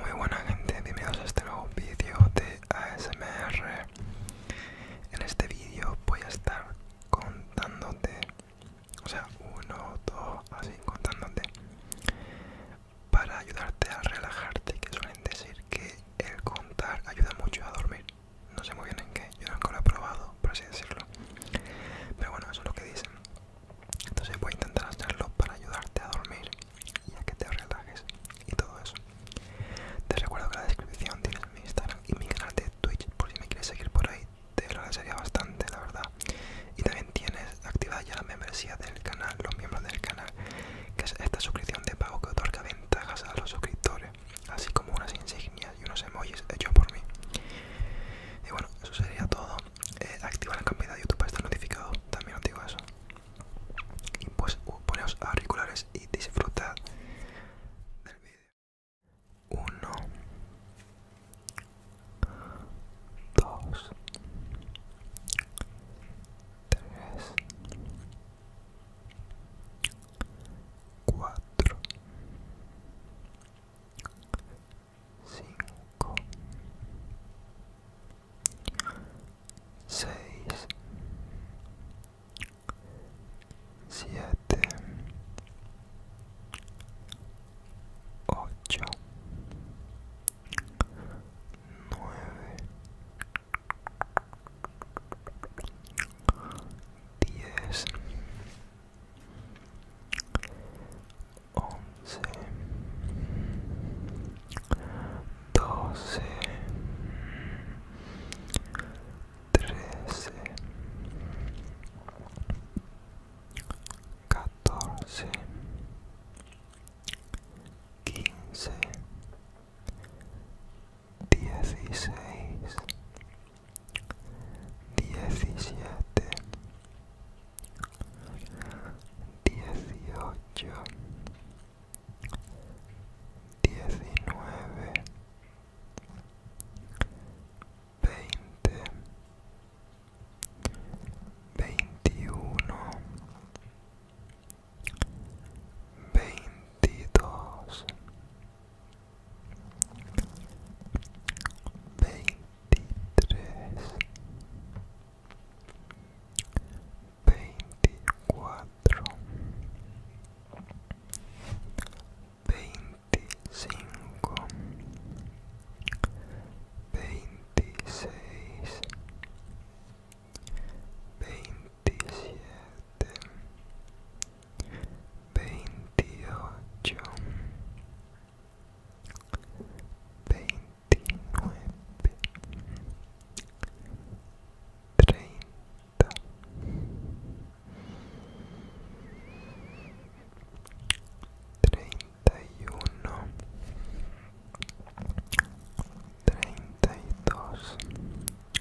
Muy buena gente, bienvenidos a este nuevo vídeo de ASMR. En este vídeo voy a estar contándote, o sea, uno, dos, así contándote, para ayudarte a relajarte, que suelen decir que el contar ayuda mucho a dormir. No sé muy bien en qué, yo nunca lo he probado, por así decirlo. Pero bueno, eso es lo que dicen. Entonces voy a intentar hacerlo para ayudarte a dormir y a que te relajes y todo eso. Te recuerdo que en la descripción tienes mi Instagram y mi canal de Twitch por si me quieres seguir por ahí. Te lo agradecería bastante, la verdad. Y también tienes activada ya la membresía del canal, los miembros del canal, que es esta suscripción de pago que otorga ventajas a los suscriptores, así como unas insignias y unos emojis hechos por mí. Y bueno, eso sería todo. Eh, activa la campanita de YouTube para estar notificado. También os digo eso. Y pues uh, auriculares y disfrutar del vídeo. 1 2 3 4 cinco, seis, siete, ocho, nueve, diez. 11, 12, 13, 14, 15, 16 diecisiete, dieciocho, diecinueve, veinte, veintiuno, veintidós, 23, 24, 25, 26, 27 veintiocho, veintinueve, treinta, treinta y uno, treinta y dos.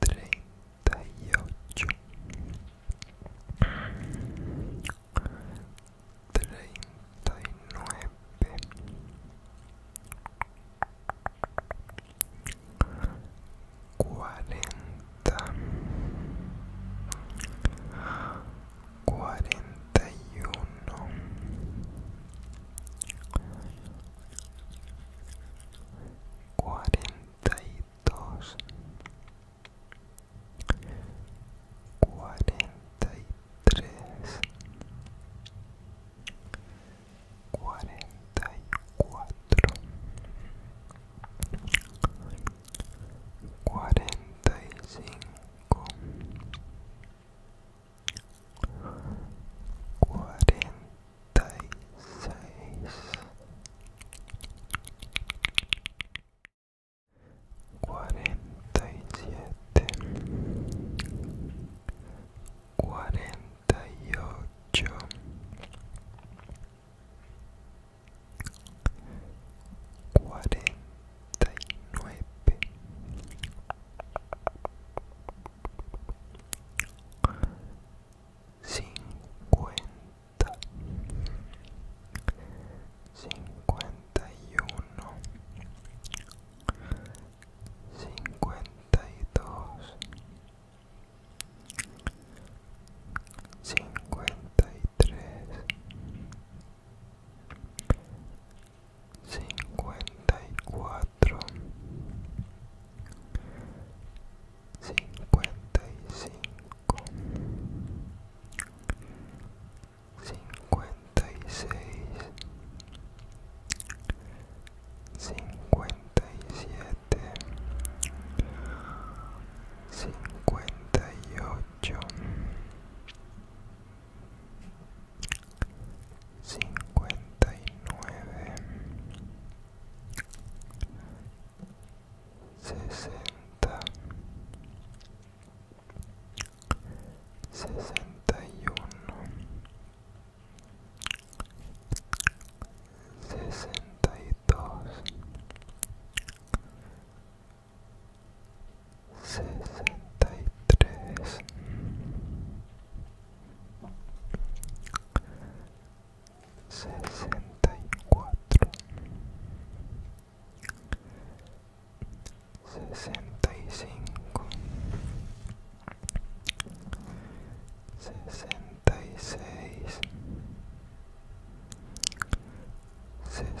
treinta y ocho treinta y nueve cuarenta y uno 42 43 44 45 cuarenta y seis cuarenta y siete cuarenta y ocho cuarenta y nueve cincuenta, cincuenta y uno, cincuenta y dos, cincuenta y tres cincuenta y cuatro cincuenta y cinco cincuenta y seis cincuenta y siete cincuenta y ocho cincuenta y nueve, sesenta, sesenta y uno, sesenta y dos, sesenta y tres 64 65 66 67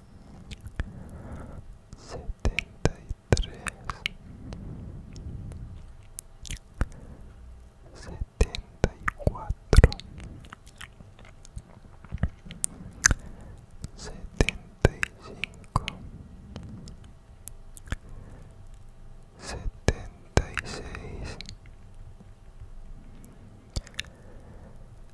73 74 75 76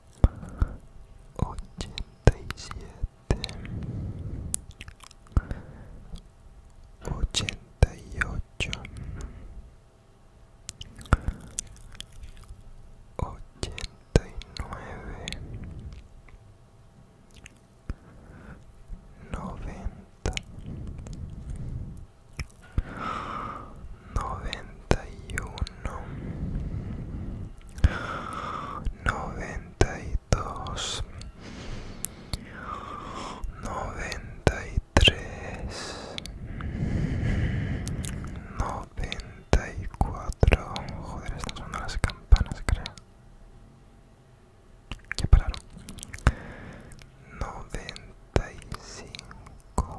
87 88 89 90 90 noventa y uno Noventa y dos noventa y tres noventa y cuatro joder están sonando las campanas creo ya pararon noventa y cinco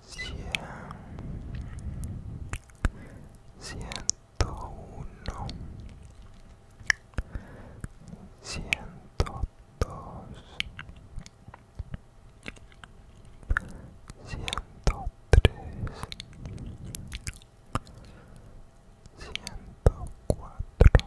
cien ciento uno ciento dos ciento tres ciento cuatro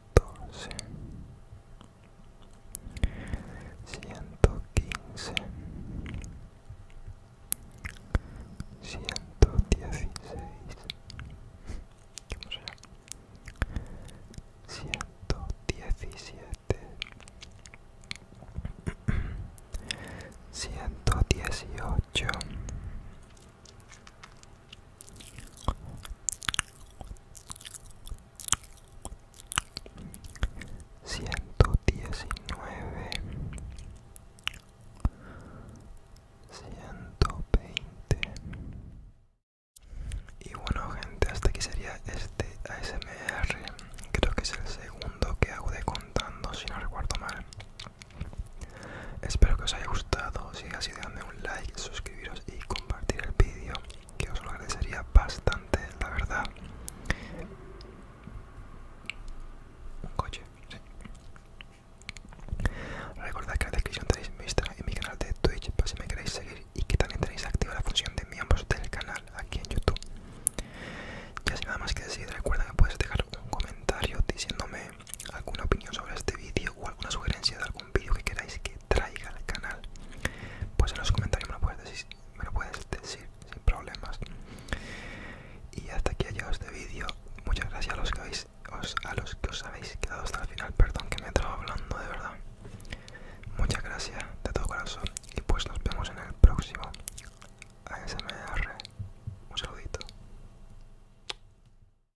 115 116 117 118 119 120 y bueno gente hasta aquí sería este ASMR creo que es el segundo que hago de contando si no recuerdo mal espero que os haya gustado si es así dándome un like suscribiros y compartir el vídeo que os lo agradecería bastante la verdad un coche sí. recordad que en la descripción tenéis mi Instagram y mi canal de Twitch por si me queréis seguir y que también tenéis activa la función de miembros del canal aquí en YouTube ya sin nada más que decir recuerda que puedes dejar un comentario diciéndome alguna opinión sobre este vídeo o alguna sugerencia de algún vídeo que queráis que traiga al canal, pues en los comentarios me lo puedes decir, decir sin problemas. Y hasta aquí ha llegado este vídeo. Muchas gracias a los que habéis, os, a los que os habéis quedado hasta el final. Perdón que me he estado hablando de verdad. Muchas gracias de todo corazón y pues nos vemos en el próximo ASMR. Un saludito.